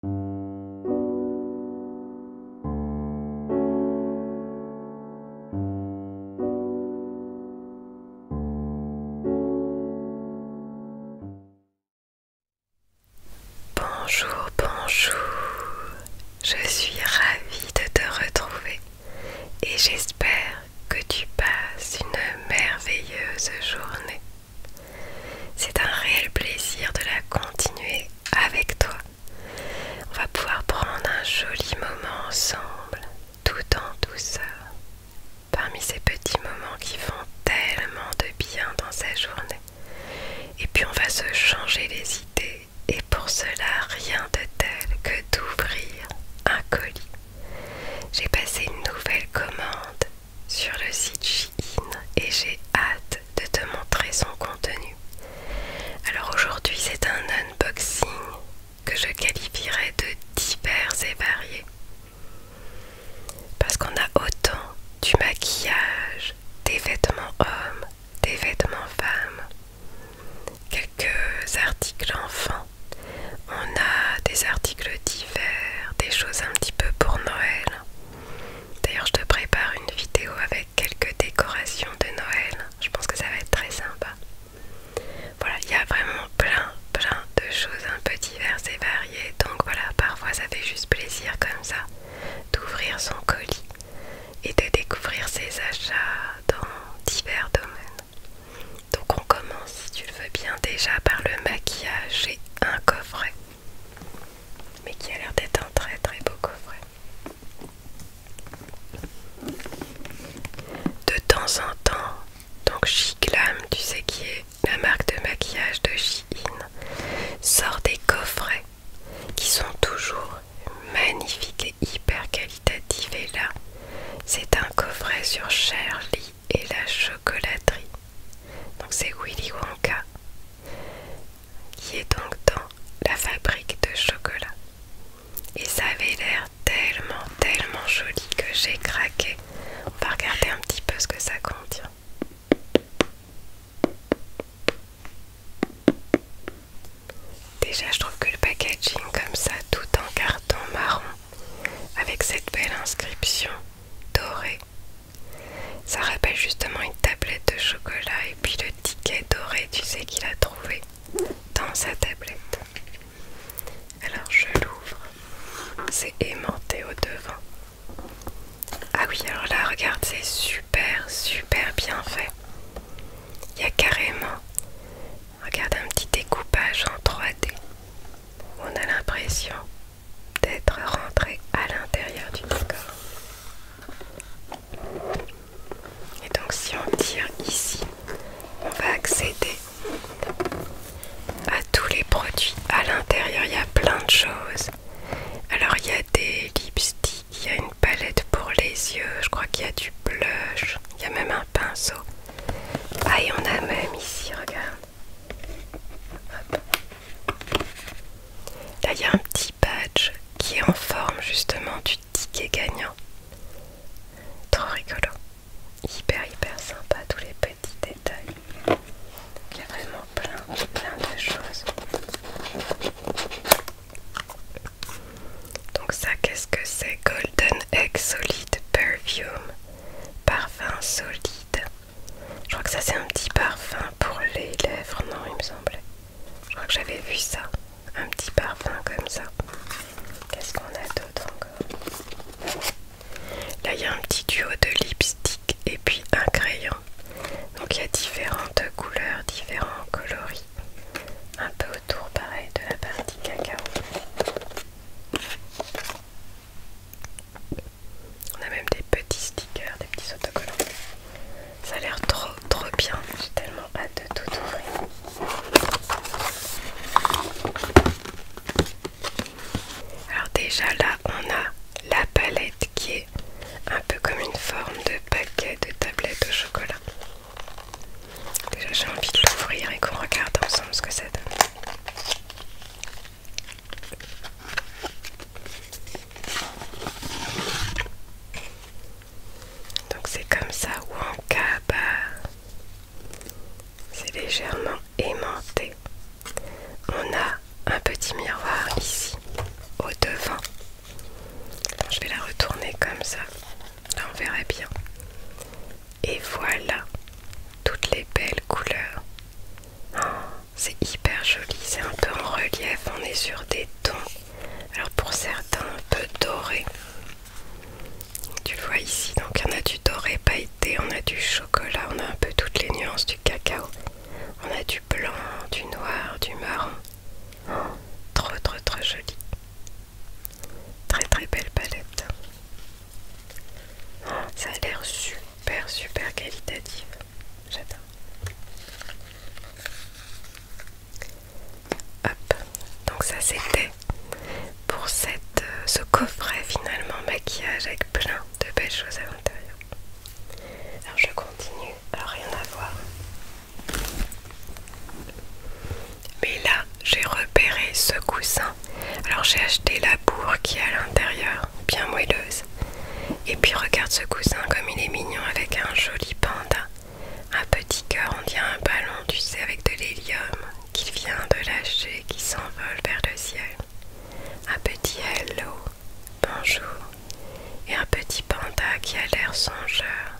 Bonjour, bonjour, je suis ravie de te retrouver et j'espère que tu passes une merveilleuse journée. C'est un réel plaisir de la continuer avec toi. On va pouvoir prendre un joli moment ensemble, tout en douceur. Parmi ces petits moments qui font tellement de bien dans sa journée. Et puis on va se changer les idées. Et pour cela, rien de tel que d'ouvrir un colis. J'ai passé une nouvelle commande sur le site Shein et j'ai hâte de te montrer son contenu. Alors aujourd'hui c'est un unboxing que je qualifierais de divers et variés. Parce qu'on a autant du maquillage, des vêtements hommes, des vêtements femmes, quelques articles enfants. On a des articles divers, des choses un petit peu pour Noël. D'ailleurs, je te prépare une vidéo avec quelques décorations de Noël. Je pense que ça va être très sympa. Voilà, il y a vraiment plein, plein de choses un peu diverses et variées. Donc voilà, parfois ça fait juste plaisir comme ça d'ouvrir son colis et de découvrir ses achats dans divers domaines. Donc on commence, si tu le veux bien, déjà par le maquillage. et un coffret mais qui a l'air d'être un très très beau coffret. De temps en temps, donc Chiclam, tu sais qui est la marque de maquillage de In, sort des coffrets qui sont toujours magnifiques et hyper qualitatifs. Et là, c'est un coffret sur Shirley et la chocolaterie. Donc c'est Willy Wonka qui est donc dans la fabrique de chocolat. Et ça avait l'air tellement, tellement joli que j'ai craqué. On va regarder un petit peu ce que ça contient. Déjà, je trouve que le packaging comme ça, tout en carton marron, avec cette belle inscription dorée, ça rappelle justement une tablette de chocolat et puis le ticket doré, tu sais qu'il a trouvé dans sa tablette. Alors je l'ouvre, c'est aimanté au devant. Ah oui, alors là, regarde, c'est super, super bien fait. Il y a carrément, regarde, un petit découpage en 3D. On a l'impression d'être rentré à l'intérieur du décor. Et donc si on tire ici, on va accéder à tous les produits à l'intérieur. Il y a plein de choses. Alors il y a des lipsticks, il y a une palette pour les yeux, je crois qu'il y a du blush, il y a même un pinceau. Ah y on a même ici, regarde, Là, il y a un petit badge qui est en forme justement du ticket gagnant. Trop rigolo. Hyper, hyper sympa, tous les petits détails. il y a vraiment plein, plein de choses. Donc ça, qu'est-ce que c'est Golden Egg Solid Perfume. Parfum solide. Je crois que ça c'est un petit parfum pour les lèvres, non il me semblait Je crois que j'avais vu ça. Un petit parfum comme ça. Qu'est-ce qu'on a d'autre encore Là il y a un petit duo de lipstick et puis un crayon. Donc il y a différentes couleurs, différents coloris. Un peu autour pareil de la partie cacao. On a même des petits stickers, des petits autocollants. Ça a l'air trop trop bien. J'ai tellement hâte de tout ouvrir. Alors déjà là on a la palette qui est un peu comme une forme de paquet de tablettes de chocolat. Déjà j'ai envie de l'ouvrir et qu'on regarde ensemble ce que ça donne. Donc c'est comme ça ou en cas euh, c'est légèrement aimanté. On a un petit miroir ici au devant. je vais la retourner comme ça. Là on verrait bien. Et voilà toutes les belles couleurs c'est hyper joli, c'est un peu en relief, on est sur des tons, alors pour certains un peu dorés. Tu vois ici, donc on a du doré pailleté, on a du chocolat, on a un peu toutes les nuances du cacao, on a du blanc, du noir, du marron. trop trop trop joli. Très très belle palette. ça a l'air super super super qualitatif J'adore. Hop, donc ça c'était pour cette, euh, ce coffret finalement maquillage avec plein de belles choses à l'intérieur. Alors je continue, à rien à voir. Mais là j'ai repéré ce coussin. Alors j'ai acheté la bourre qui est à l'intérieur bien moelleuse. Et puis regarde ce cousin comme il est mignon avec un joli panda, un petit cœur, on dirait un ballon, tu sais, avec de l'hélium qu'il vient de lâcher, qui s'envole vers le ciel. Un petit hello, bonjour, et un petit panda qui a l'air songeur,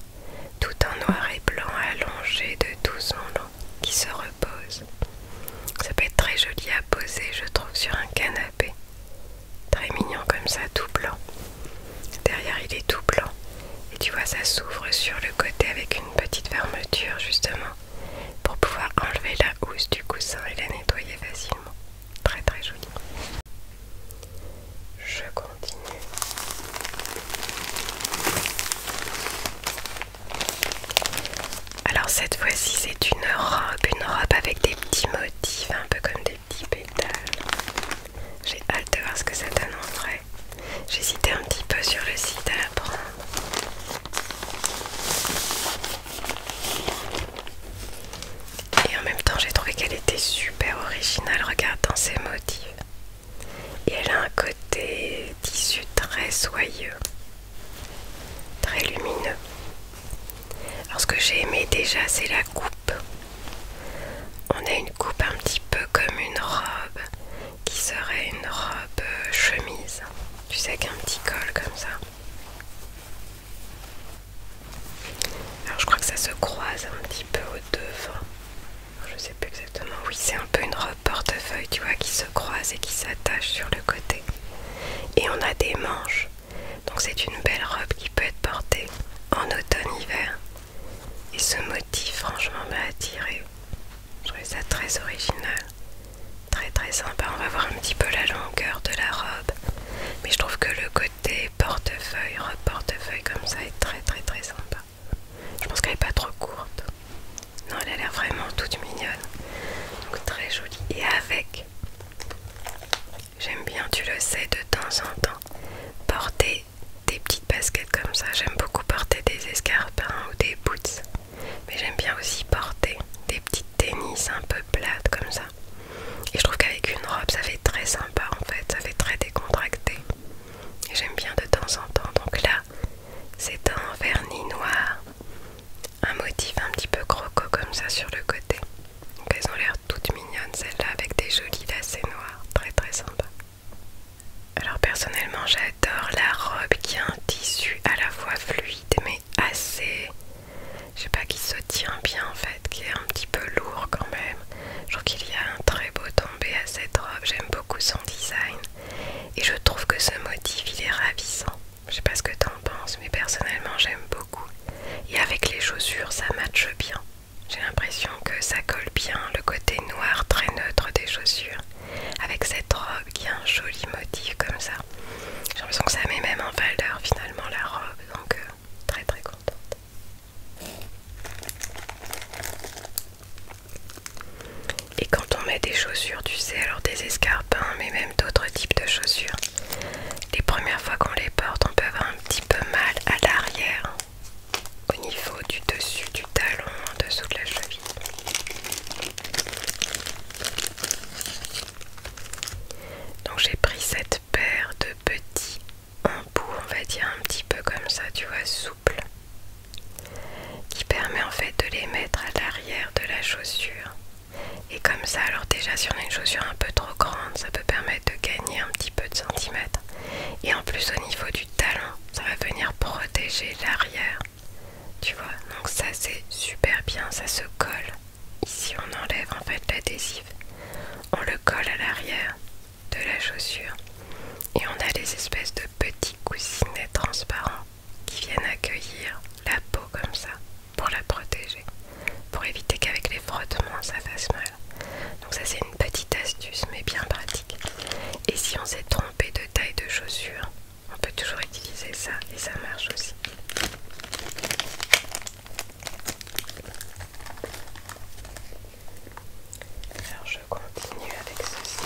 tout en noir et blanc allongé de tout son long, qui se repose. Ça peut être très joli à poser, je trouve, sur un canapé. Très mignon comme ça, tout blanc. Derrière, il est tout blanc. Et tu vois, ça s'ouvre sur le côté avec une petite fermeture, justement, pour pouvoir enlever la housse du coussin et la nettoyer facilement. Très très joli. Je continue. Alors cette fois-ci c'est une robe, une robe avec des petits motifs, un peu comme des petits pétales. J'ai hâte de voir ce que ça donne en vrai. J'hésitais un petit peu sur le site à la prendre. Et en même temps j'ai trouvé qu'elle était super originale, regardant dans ses motifs. Et elle a un côté tissu très soyeux très lumineux. Alors ce que j'ai aimé déjà c'est la coupe. On a une coupe un petit peu comme une robe qui serait une robe euh, chemise. Tu sais un petit col comme ça. Alors je crois que ça se croise un petit peu au devant. Je sais plus exactement. Oui, c'est un peu une robe portefeuille, tu vois, qui se croise et qui s'attache sur le côté. Et on a des manches. Donc c'est une belle robe qui peut être portée en automne-hiver. Et ce motif franchement m'a attiré. Je trouvais ça très original. Très très sympa. On va voir un petit peu la longueur de la robe. Mais je trouve que le côté portefeuille, robe portefeuille comme ça est très très très sympa. Je pense qu'elle n'est pas trop courte. Non, elle a l'air vraiment toute mignonne. Donc très jolie. Et avec J'aime bien, tu le sais, de temps en temps, porter des petites baskets comme ça. J'aime beaucoup porter des escarpins ou des boots. Mais j'aime bien aussi porter des petites tennis un peu plates comme ça. Et je trouve qu'avec une robe, ça fait très sympa en fait. Ça fait très décontracté. Et J'aime bien de temps en temps. Donc là, c'est un vernis noir un motif un petit peu croco comme ça sur le côté. Donc elles ont l'air toutes mignonnes celles-là avec des jolis lacets noirs, très très sympa. Alors personnellement j'adore la robe qui a un tissu à la fois fluide mais assez, je sais pas, qui se tient bien en fait, qui est un petit peu lourd quand même. Je trouve qu'il y a un très beau tombé à cette robe, j'aime beaucoup son design et je trouve que ce motif il est ravissant. Je sais pas ce que t'en penses, mais personnellement j'aime beaucoup. Et avec les chaussures, ça matche bien. J'ai l'impression que ça colle bien le côté noir très neutre des chaussures. Avec cette robe qui a un joli motif comme ça. J'ai l'impression que ça met même en valeur finalement la robe. Donc euh, très très contente. Et quand on met des chaussures, tu sais, alors des escarpins, mais même d'autres types de chaussures, les premières fois qu'on les porte, on peut avoir un petit peu mal à l'arrière, au niveau du dessus du talon, en dessous de la cheville. Donc j'ai pris cette paire de petits embouts, on va dire un petit peu comme ça, tu vois, souple, qui permet en fait de les mettre à l'arrière de la chaussure et comme ça, alors déjà si on a une chaussure un peu trop grande, ça peut permettre de gagner un petit peu de centimètres. Et en plus au niveau du talon, ça va venir protéger l'arrière. Tu vois, donc ça c'est super bien, ça se colle. Ici on enlève en fait l'adhésif. On le colle à l'arrière de la chaussure. Et on a des espèces de petits coussinets transparents qui viennent accueillir la peau comme ça pour la protéger, pour éviter qu'avec les frottements ça fasse mal. Donc ça c'est une petite astuce mais bien pratique. Et si on s'est trompé de taille de chaussure, on peut toujours utiliser ça et ça marche aussi. Alors je continue avec ceci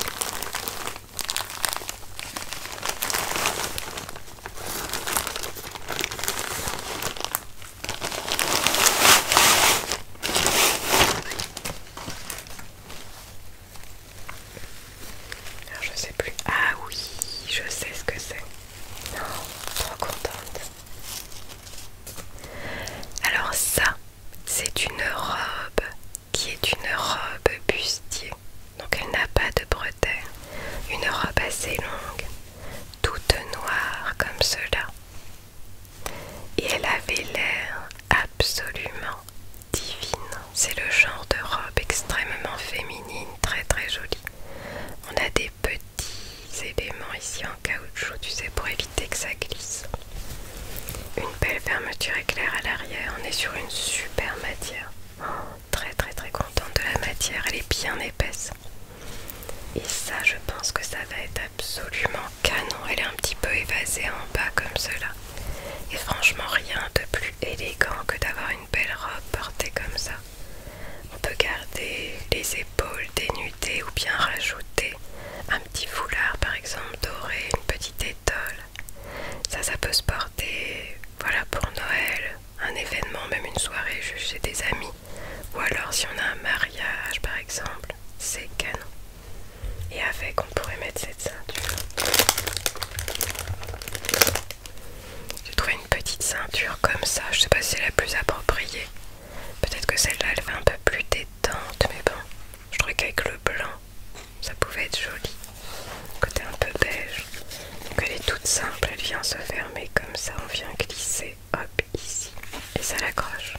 je sais plus. Ah oui, je sais ce que c'est. Non, oh, trop contente. Alors ça, c'est une robe qui est une robe bustier donc elle n'a pas de bretelles, une robe assez longue, toute noire comme cela. Et elle avait l'air absolument divine. C'est le genre de robe extrêmement féminine, très très jolie. On a des petits éléments ici en caoutchouc, tu sais, pour éviter que ça glisse. Une belle fermeture éclair à l'arrière, on est sur une super matière. Oh très très très contente de la matière, elle est bien épaisse. Et ça je pense que ça va être absolument canon, elle est un petit peu évasée en bas comme cela. Et franchement rien de plus élégant que d'avoir une belle robe portée comme ça. On peut garder les épaules dénudées ou bien rajouter un petit foulard par exemple doré, une petite étole. Ça, ça peut se porter voilà, pour Noël, un événement, même une soirée juste chez des amis, ou alors si on a un mariage par exemple, c'est canon. Et avec, on pourrait mettre cette ceinture. J'ai trouvé une petite ceinture comme ça, je sais pas si c'est la plus appropriée. Peut-être que celle-là elle fait un peu plus détente, mais bon, je trouvais qu'avec le blanc ça pouvait être joli côté un peu beige. Donc elle est toute simple, elle vient se fermer comme ça, on vient glisser, hop, ici, et ça l'accroche.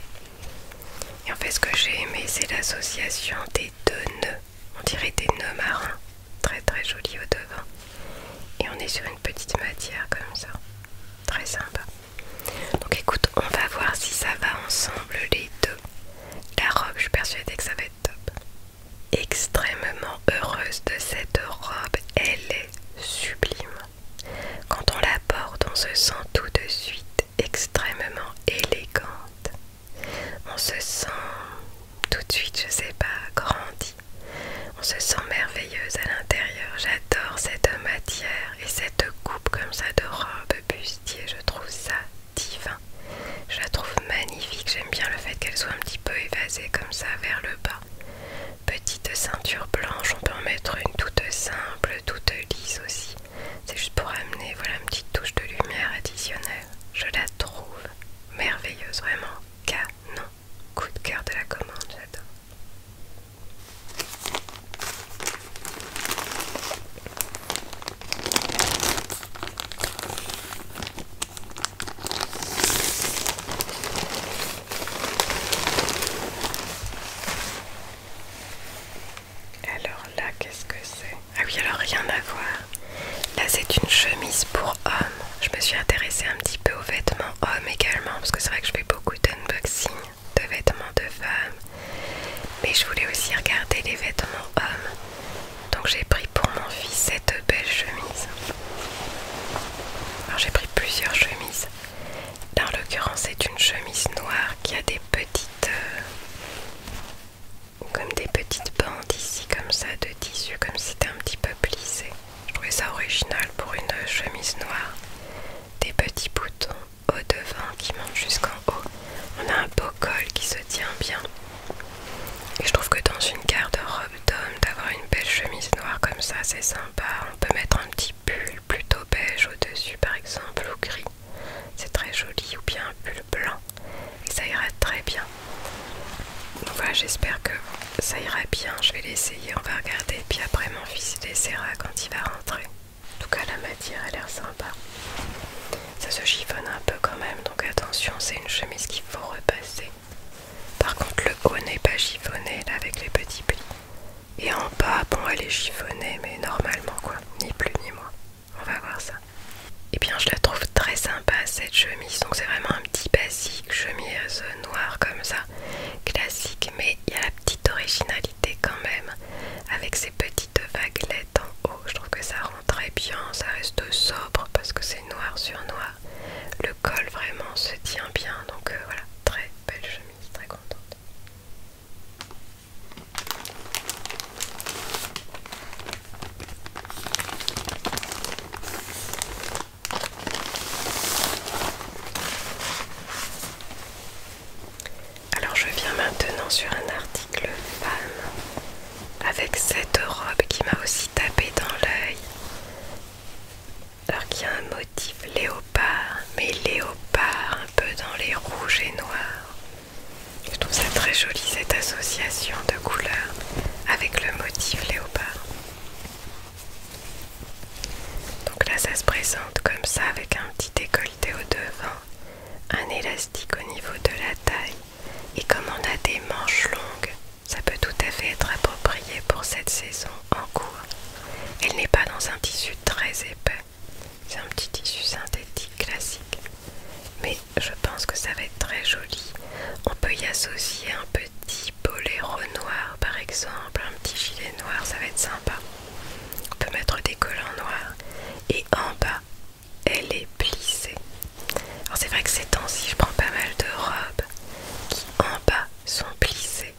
Et en fait ce que j'ai aimé c'est l'association des deux nœuds, on dirait des nœuds marins, très très jolis au devant. Et on est sur une petite matière comme ça, très sympa. Donc écoute, on va voir si ça va ensemble les deux. La robe, je suis persuadée que ça va être top extrêmement heureuse de cette robe, elle est sublime. Quand on la porte, on se sent tout de suite extrêmement élégante. On se sent tout de suite, je sais pas, grandi, On se sent merveilleuse à l'intérieur. J'adore cette matière et cette coupe comme ça de robe bustier. Je trouve ça divin. Je la trouve magnifique j'aime bien le fait qu'elle soit un petit peu évasée comme ça vers le bas. Petite ceinture blanche, on peut en mettre une toute simple, toute lisse aussi. C'est juste pour amener voilà, une petite touche de lumière additionnelle. Je la trouve merveilleuse, vraiment canon. Coup de cœur de la commande, j'adore. Alors là, qu'est-ce que c'est Ah oui, alors rien à voir. Là, c'est une chemise pour homme. Je me suis intéressée un petit peu aux vêtements hommes également, parce que c'est vrai que je fais beaucoup d'unboxing de vêtements de femmes. Mais je voulais aussi regarder les vêtements hommes. Donc j'ai pris pour mon fils cette belle chemise. Alors j'ai pris plusieurs chemises. Là en l'occurrence c'est une chemise noire qui a des petites... Euh, comme des petites bandes ici comme ça de tissu, comme si c'était un petit peu plissé. Je trouvais ça original pour une chemise noire. Des petits boutons au devant qui montent jusqu'en haut. On a un beau col qui se tient bien. Et je trouve que dans une garde-robe d'homme, d'avoir une belle chemise noire comme ça, c'est sympa. On peut mettre un petit pull plutôt beige au-dessus, par exemple, ou gris. C'est très joli, ou bien un pull blanc. Et ça ira très bien. Donc voilà, j'espère que ça ira bien. Je vais l'essayer, on va regarder. Puis après, mon fils l'essaiera quand il va rentrer. En tout cas, la matière a l'air sympa. Ça se chiffonne un peu quand même, donc attention, c'est une chemise qu'il faut repasser. Par contre, le haut n'est pas chiffonné avec les petits plis. Et en bas, bon, elle est chiffonnée, mais normalement quoi, ni plus ni moins. On va voir ça. Et eh bien, je la trouve très sympa cette chemise. Donc, c'est vraiment un petit basique, chemise noire comme ça, classique, mais il y a la petite originalité quand même, avec ces petites vaguelettes en haut. Je trouve que ça très bien, ça reste sobre parce que c'est noir sur noir. Le col vraiment se tient bien, donc euh, voilà, très belle chemise, très contente. Alors je viens maintenant sur un article femme avec cette robe qui m'a aussi tapé dans l'œil. Alors qu'il y a un motif léopard, mais léopard un peu dans les rouges et noirs. Je trouve ça très joli cette association de couleurs avec le motif léopard. Donc là ça se présente comme ça avec un petit décolleté au devant, un élastique au niveau de la taille et comme on a des manches longues, ça peut tout à fait être approprié pour cette saison en cours. Elle n'est pas dans un tissu très épais. C'est un petit tissu synthétique classique. Mais je pense que ça va être très joli. On peut y associer un petit boléro noir par exemple, un petit gilet noir, ça va être sympa. On peut mettre des collants noirs. Et en bas, elle est plissée. Alors c'est vrai que ces temps-ci, je prends pas mal de robes qui en bas sont plissées.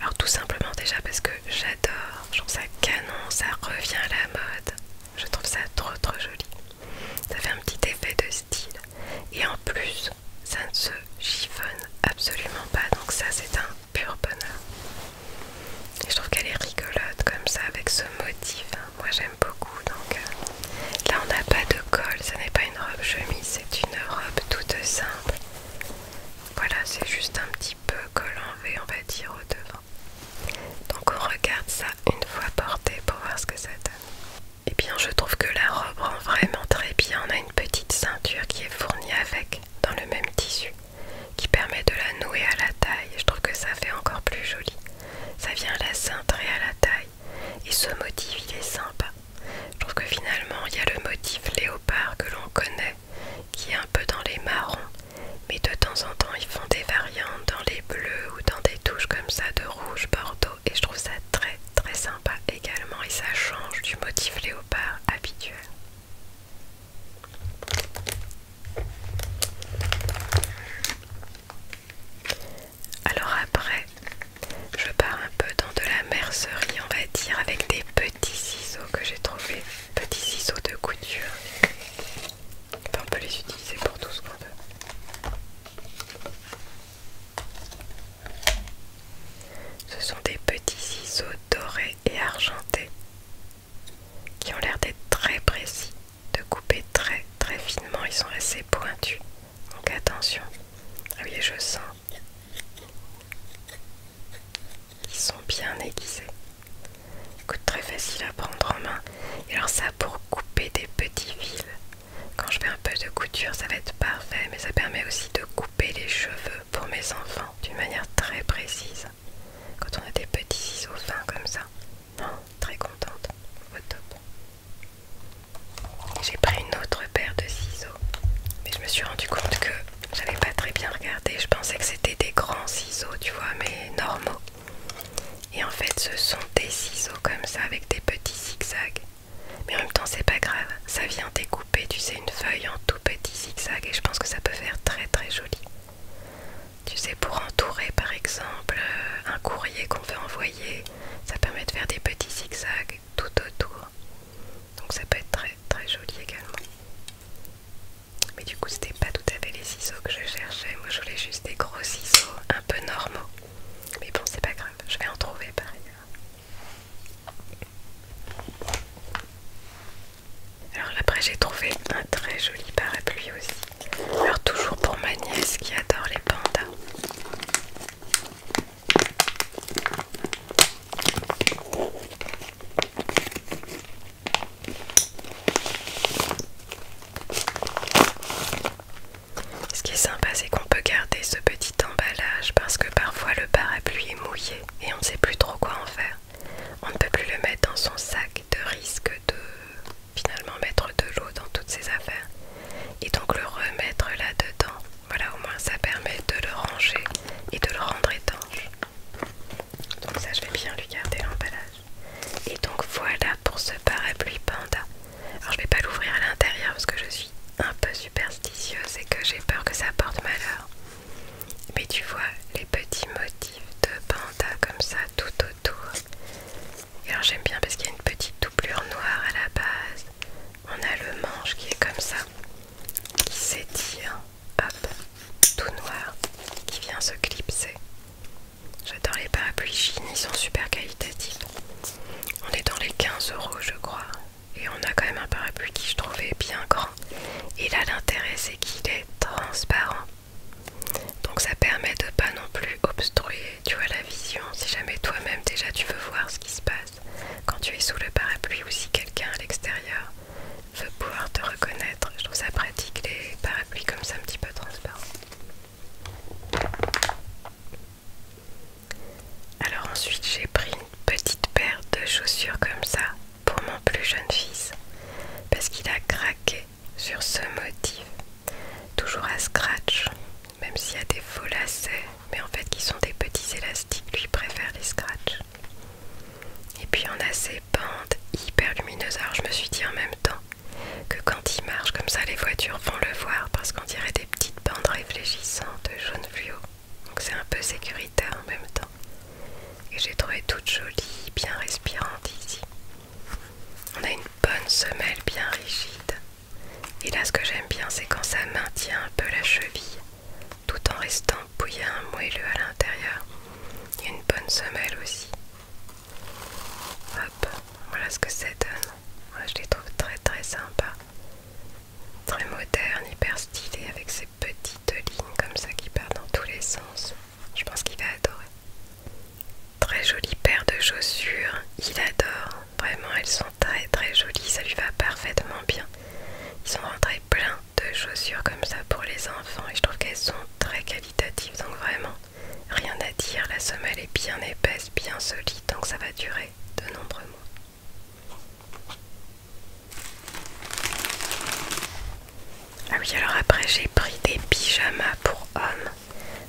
Alors tout simplement déjà parce que j'adore, je trouve ça canon, ça revient à la mode. Je trouve ça trop trop joli. Ça fait un petit effet de style. Et en plus, ça ne se chiffonne absolument pas. Donc ça c'est un pur bonheur. Et je trouve qu'elle est rigolote comme ça avec ce motif moi j'aime beaucoup donc euh, là on n'a pas de col ce n'est pas une robe chemise c'est une robe toute simple voilà c'est juste un petit peu col en V on va dire au devant donc on regarde ça une fois porté pour voir ce que ça donne et eh bien je trouve que la robe rend vraiment très bien on a une petite ceinture qui est fournie avec dans le même tissu qui permet de la nouer à la taille je trouve que ça fait encore plus joli ça vient à la cintrer et à la taille et ce motif, il est sympa. Je trouve que finalement, il y a le motif léopard que l'on connaît, qui est un peu dans les marrons, mais de temps en temps, ils font des variantes dans les bleus ou dans des touches comme ça de rouge, bordeaux, et je trouve ça très très sympa également, et ça change du motif léopard habituel. Alors après, je pars un peu dans de la mercerie, on va dire, avec des petits ciseaux que j'ai trouvés. Petits ciseaux de couture. on peut les utiliser pour tout ce qu'on veut. Ce sont des petits ciseaux dorés et argentés qui ont l'air d'être très précis de couper très très finement, ils sont assez pointus. Donc attention. Ah oui, je sens. Ils sont bien aiguisés. Écoute, très facile à prendre en main. Et alors ça pour couper des petits fils. Quand je fais un peu de couture, ça va être parfait, mais ça permet aussi de couper les cheveux pour mes enfants d'une manière très précise. Quand on a des petits ciseaux fins comme ça. Non, oh, très contente. Au top. J'ai pris une autre paire de ciseaux, mais je me suis rendu compte que je n'avais pas très bien regardé. Je pensais que c'était des grands ciseaux, tu vois, mais normaux. Et en fait, ce sont des ciseaux comme ça avec des petits zigzags. Mais en même temps, c'est pas grave, ça vient découper, tu sais, une feuille en tout petit zigzag et je pense que ça peut faire très très joli. Tu sais, pour entourer par exemple euh, un courrier qu'on veut envoyer ça permet de faire des petits zigzags tout autour donc ça peut être très très joli également mais du coup c'était pas tout à fait les ciseaux que je cherchais moi je voulais juste des gros ciseaux un peu normaux mais bon c'est pas grave je vais en trouver par ailleurs alors après j'ai trouvé un très joli parapluie aussi alors toujours pour ma nièce qui adore les pandas. Ce qui est sympa, c'est qu'on peut garder ce petit emballage parce que parfois le parapluie est mouillé et on ne sait plus trop quoi en faire. On ne peut plus le mettre dans son sac de risque de finalement mettre de l'eau dans toutes ces affaires et donc le remettre là-dedans. Voilà, au moins ça permet de le ranger et de le rendre étanche. Donc ça, je vais bien lui garder l'emballage. Et donc voilà pour ce parapluie panda. Alors je vais pas l'ouvrir à l'intérieur parce que je suis un peu superstitieuse et que j'ai peur que ça porte malheur. Mais tu vois les petits motifs de panda comme ça tout autour. Et alors j'aime bien parce qu'il y a une petite Plure noire à la base. On a le manche qui est comme ça, qui s'étire, hop, tout noir, qui vient se clipser. J'adore les parapluies chinois, ils sont super qualitatifs. On est dans les 15 euros, je crois. Et on a quand même un parapluie qui je trouvais bien grand. Et là, l'intérêt, c'est qu'il est transparent. Donc ça permet de pas non plus obstruer tu vois la vision, si jamais toi-même déjà tu veux voir ce qui se passe, quand tu es sous le parapluie ou si quelqu'un à l'extérieur veut pouvoir te reconnaître. Je trouve ça pratique les parapluies comme ça un petit peu transparents. Alors ensuite j'ai pris une petite paire de chaussures comme ça pour mon plus jeune fils parce qu'il a craqué sur ce motif toujours à scratch, même s'il y a des faux lacets, mais en fait qui sont des petits élastiques, lui préfère les scratch. Et puis on a ces bandes hyper lumineuses, alors je me suis dit en même temps que quand il marche comme ça, les voitures vont le voir parce qu'on dirait des petites bandes réfléchissantes jaune fluo, donc c'est un peu sécuritaire en même temps. Et j'ai trouvé toute jolie, bien respirante ici. On a une bonne semelle bien rigide. Et là, ce que j'aime bien, c'est quand ça maintient un peu la cheville, tout en restant bouillant, moelleux à l'intérieur. Il y a une bonne semelle aussi. Hop, voilà ce que ça donne. je les trouve très très sympas. Très moderne, hyper stylé, avec ces petites lignes comme ça qui partent dans tous les sens. Je pense qu'il va adorer. Très jolie paire de chaussures, il adore. Vraiment, elles sont très très jolies, ça lui va parfaitement bien. Ils sont rentrés plein de chaussures comme ça pour les enfants et je trouve qu'elles sont très qualitatives, donc vraiment, rien à dire. La somme est bien épaisse, bien solide, donc ça va durer de nombreux mois. Ah oui, alors après j'ai pris des pyjamas pour hommes.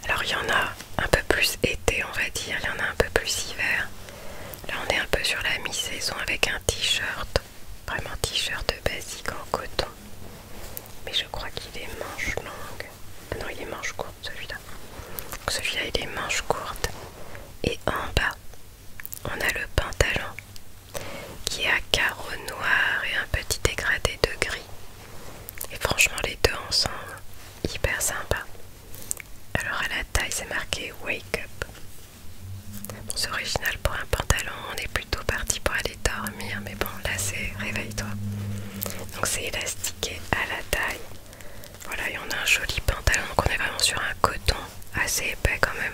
Alors il y en a un peu plus été on va dire, il y en a un peu plus hiver. Là on est un peu sur la mi-saison avec un t-shirt, vraiment t-shirt basique en coton. Mais je crois qu'il est manche longue. Ah non il est manche courte celui-là. Celui-là il est manche courte. Et en bas on a le pantalon qui est à carreaux noirs et un petit dégradé de gris. Et franchement, les deux ensemble, hyper sympa. Alors à la taille, c'est marqué Wake Up. c'est original pour un pantalon, on est plutôt parti pour aller dormir, mais bon, là c'est réveille-toi. Donc c'est élastiqué à la taille. Voilà, et on a un joli pantalon, donc on est vraiment sur un coton assez épais quand même.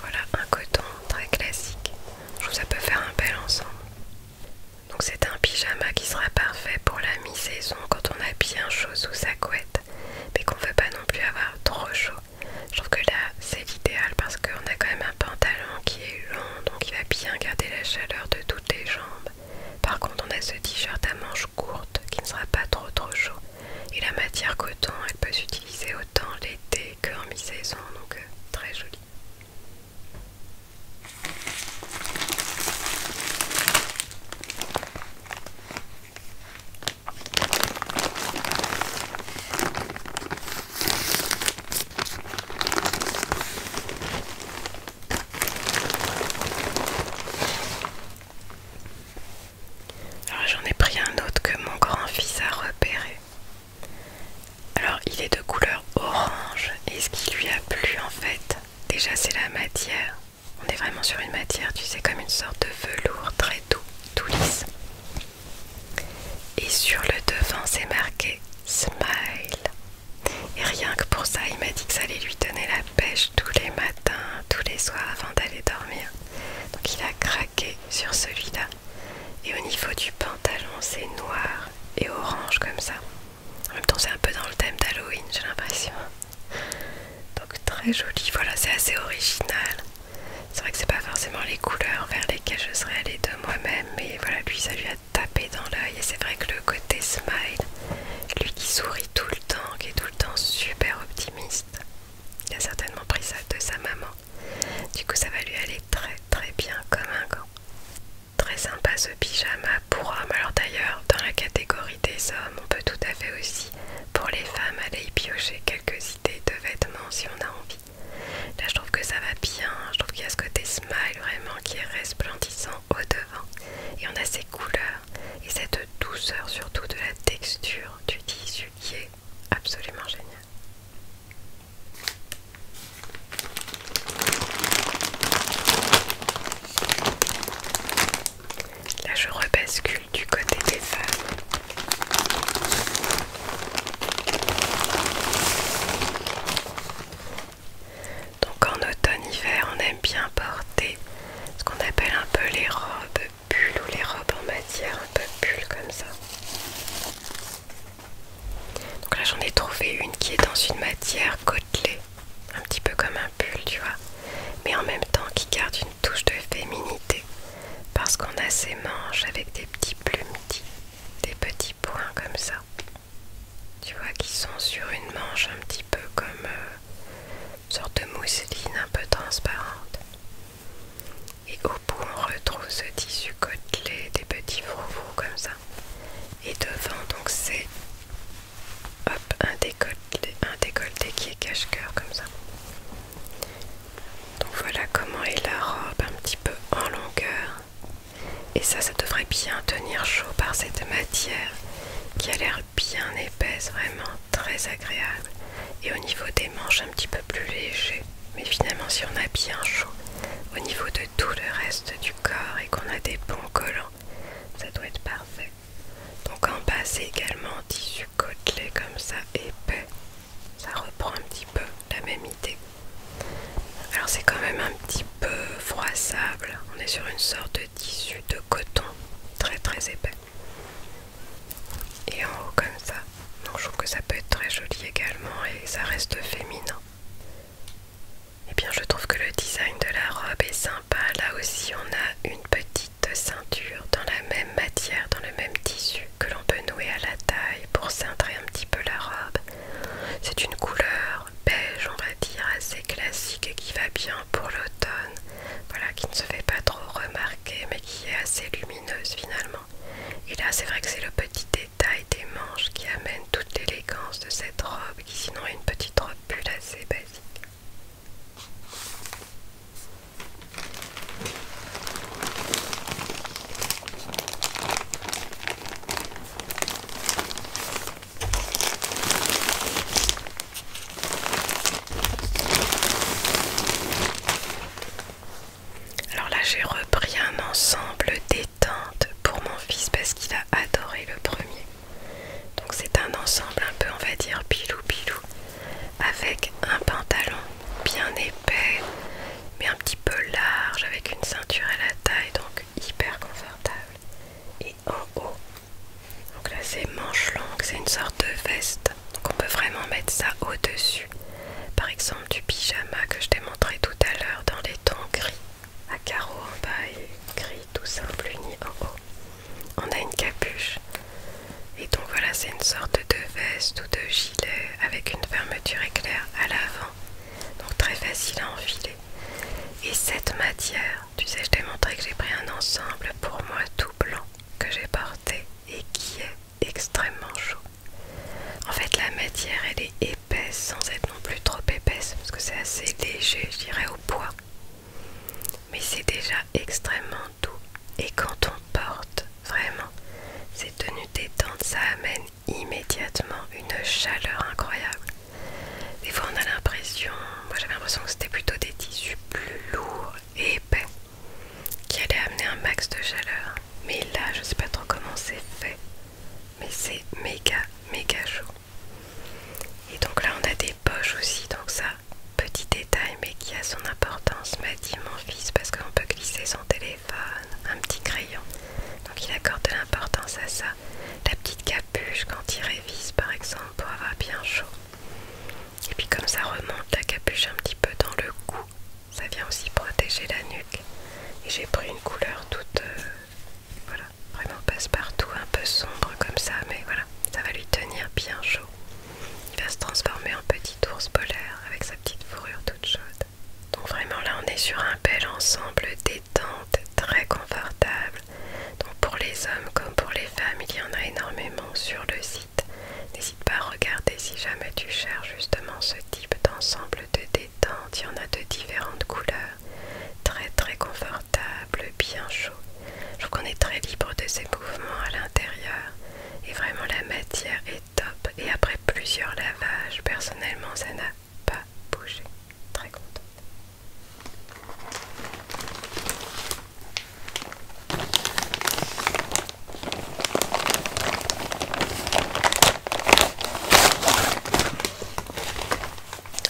Voilà, un coton très classique. Je trouve ça peut faire un bel ensemble. Donc c'est un pyjama qui sera parfait pour la mi-saison quand on a bien chaud sous sa couette, mais qu'on veut pas non plus avoir trop chaud. Je trouve que là c'est l'idéal parce qu'on a quand même un pantalon qui est long, donc il va bien garder la chaleur de toutes les jambes. Par contre on a ce t-shirt à manches courtes qui ne sera pas trop trop chaud. Et la matière coton, elle peut s'utiliser autant l'été qu'en mi-saison, donc euh, très jolie. Ah, j'en ai pris un autre que mon grand-fils a repéré. Alors il est de couleur orange et ce qui lui a plu en fait, déjà c'est la matière. On est vraiment sur une matière, tu sais, comme une sorte de velours très doux, tout lisse. Et sur le devant c'est marqué Smile. Et rien que pour ça, il m'a dit que ça allait lui donner la pêche tous les matins, tous les soirs avant d'aller dormir. Donc il a craqué sur celui-là. Et au niveau du pantalon, c'est noir et orange comme ça. En même temps, c'est un peu dans le thème d'Halloween, j'ai l'impression. Donc très joli. Voilà, c'est assez original. C'est vrai que c'est pas forcément les couleurs vers lesquelles je serais allée de moi-même, mais voilà, lui, ça lui a tapé dans l'œil. Et c'est vrai que le côté smile, lui qui sourit tout le temps, qui est tout le temps super optimiste, il a certainement pris ça de sa maman. Du coup, ça va lui aller très très bien comme un gant. Très sympa ce pyjama pour hommes. Alors d'ailleurs, dans la catégorie des hommes, on peut tout à fait aussi, pour les femmes, aller y piocher quelques idées de vêtements si on a envie. Là, je trouve que ça va bien. Je trouve qu'il y a ce côté smile vraiment qui est resplendissant au devant. Et on a ces couleurs et cette douceur surtout de la texture du tissu qui est absolument génial. Là, je rebascule du côté des femmes. Donc en automne-hiver, on aime bien porter ce qu'on appelle un peu les robes bulles ou les robes en matière un peu pull comme ça. Donc là j'en ai trouvé une qui est dans une matière côtelée, un petit peu comme un pull tu vois, mais en même temps qui garde une touche de féminité parce qu'on a ces manches avec des petits plumes, des petits points comme ça, tu vois, qui sont sur une manche un petit peu comme euh, une sorte de mousseline un peu transparente. Et au bout on retrouve ce tissu côtelé, des petits froufrous comme ça. Et devant, donc c'est un décolleté, qui est cache-cœur comme ça. Donc voilà comment est la robe un petit peu en longueur. Et ça, ça devrait bien tenir chaud par cette matière qui a l'air bien épaisse, vraiment très agréable. Et au niveau des manches, un petit peu plus léger. Mais finalement, si on a bien chaud au niveau de tout le reste du et qu'on a des bons collants, ça doit être parfait. Donc en bas c'est également tissu côtelé comme ça, épais. Ça reprend un petit peu la même idée. Alors c'est quand même un petit peu froissable. On est sur une sorte de tissu de coton très très épais. Et en haut comme ça. Donc je trouve que ça peut être très joli également et ça reste féminin. Eh bien je trouve que le design de la robe est sympa. Là aussi on a une petite ceinture dans la même matière, dans le même tissu que l'on peut nouer à la taille pour cintrer un petit peu la robe. C'est une couleur beige on va dire assez classique et qui va bien pour l'automne. Voilà qui ne se fait pas trop remarquer mais qui est assez lumineuse finalement. Et là c'est vrai que c'est le petit Taille des manches qui amène toute l'élégance de cette robe qui sinon est une petite robe plus assez basique. Alors là j'ai repris un ensemble des pour mon fils parce qu'il a adoré le premier. Donc c'est un ensemble un peu on va dire pilou pilou avec un pantalon bien épais mais un petit peu large avec une ceinture à la taille donc hyper confortable et en haut donc là c'est manche longue c'est une sorte de veste donc on peut vraiment mettre ça au dessus par exemple du pyjama que je t'ai montré tout à l'heure dans les tons gris à carreaux en bas et gris tout simple uni en haut. On a une capuche. Et donc voilà, c'est une sorte de veste ou de gilet avec une fermeture éclair à l'avant. Donc très facile à enfiler. Et cette matière, tu sais, je t'ai montré que j'ai pris un ensemble pour moi tout blanc que j'ai porté et qui est extrêmement chaud. En fait, la matière, elle est sans être non plus trop épaisse parce que c'est assez léger je dirais au poids mais c'est déjà extrêmement doux et quand on porte vraiment ces tenues détentes ça amène immédiatement une chaleur incroyable des fois on a l'impression moi j'avais l'impression que c'était plutôt des tissus plus lourds et épais qui allaient amener un max de chaleur mais là je sais pas trop comment c'est fait mais c'est méga méga chaud et donc là on a des poches aussi donc ça petit détail mais qui a son importance m'a dit mon fils parce qu'on peut glisser son téléphone un petit crayon donc il accorde de l'importance à ça la petite capuche quand il révise par exemple pour avoir bien chaud et puis comme ça remonte la capuche un petit peu dans le cou ça vient aussi protéger la nuque et j'ai pris une couleur toute euh, voilà, vraiment passe-partout, un peu sombre comme ça, mais voilà, ça va lui tenir bien chaud. Il va se transformer en petit ours polaire avec sa petite fourrure toute chaude. Donc vraiment là on est sur un bel ensemble détente, très confortable. Donc pour les hommes comme pour les femmes, il y en a énormément sur le site. N'hésite pas à regarder si jamais tu cherches justement ce type d'ensemble de détente il y en a de différentes couleurs, très très confortable, bien chaud. Je trouve qu'on est très libre de ses mouvements à l'intérieur et vraiment la matière est top. Et après plusieurs lavages, personnellement ça n'a pas bougé. Très contente.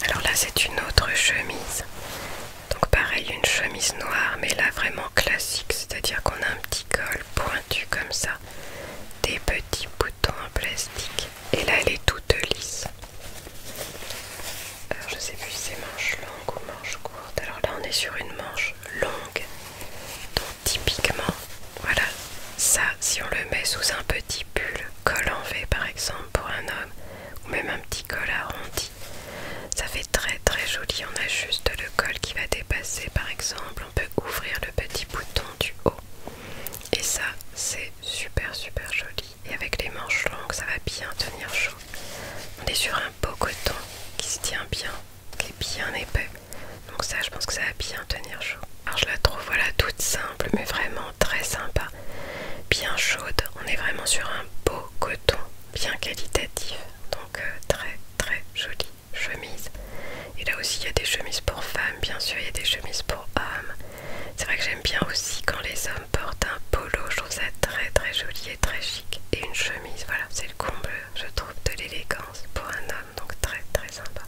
Alors là, c'est une autre chemise. Donc pareil, une chemise noire, mais là vraiment classique, c'est-à-dire qu'on a un petit col pointu comme ça, des petits boutons en plastique, et là elle est toute lisse. Alors je sais plus si c'est manche longue ou manche courte. Alors là, on est sur une manche longue, typiquement, voilà, ça, si on le met sous un petit pull, col en V par exemple pour un homme, ou même un petit col arrondi, ça fait très très joli. On a juste le col qui va dépasser par exemple, on peut ouvrir le petit bouton du haut. Et ça, c'est super super joli. Et avec les manches longues, ça va bien tenir chaud. On est sur un beau coton qui se tient bien, qui est bien épais. Donc ça je pense que ça va bien tenir chaud. Alors je la trouve voilà toute simple mais vraiment très sympa. Bien chaude, on est vraiment sur un beau coton, bien qualitatif. Donc euh, très très jolie chemise. Et là aussi il y a des chemises pour femmes bien sûr, il y a des chemises pour hommes. C'est vrai que j'aime bien aussi quand les hommes portent un polo, je trouve ça très très joli et très chic. Et une chemise, voilà, c'est le comble, je trouve, de l'élégance pour un homme, donc très très sympa.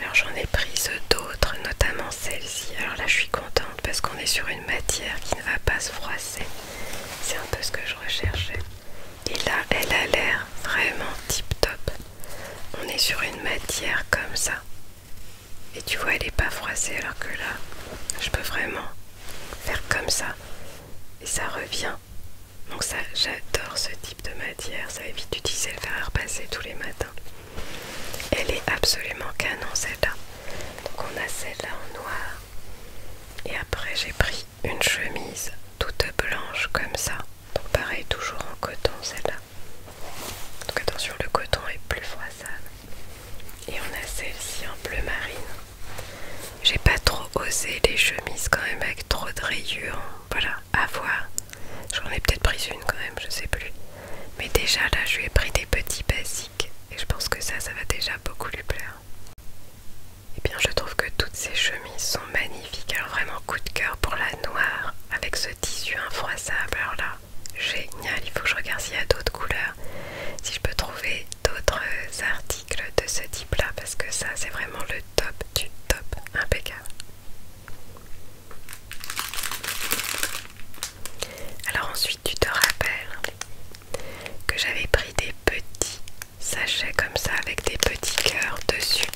Alors j'en ai prise d'autres, notamment celle-ci. Alors là je suis contente parce qu'on est sur une matière qui ne va pas se froisser. C'est un peu ce que je recherchais. Et là elle a l'air vraiment tip top. On est sur une matière comme ça. Et tu vois elle n'est pas froissée alors que là je peux vraiment faire comme ça. Et ça revient donc ça, j'adore ce type de matière, ça évite d'utiliser le fer à repasser tous les matins. Elle est absolument canon celle-là. Donc on a celle-là en noir. Et après j'ai pris une chemise toute blanche comme ça. Donc pareil, toujours en coton celle-là. Donc attention, le coton est plus froissable. Et on a celle-ci en bleu marine. J'ai pas trop osé les chemises quand même avec trop de rayures voilà, à voir. J'en ai peut-être pris une quand même, je sais plus. Mais déjà là, je lui ai pris des petits basiques et je pense que ça, ça va déjà beaucoup lui plaire. Et eh bien, je trouve que toutes ces chemises sont magnifiques. Alors, vraiment, coup de cœur pour la noire avec ce tissu infroissable. Alors là, génial. Il faut que je regarde s'il y a d'autres couleurs, si je peux trouver d'autres artistes de ce type là parce que ça c'est vraiment le top du top impeccable alors ensuite tu te rappelles que j'avais pris des petits sachets comme ça avec des petits cœurs dessus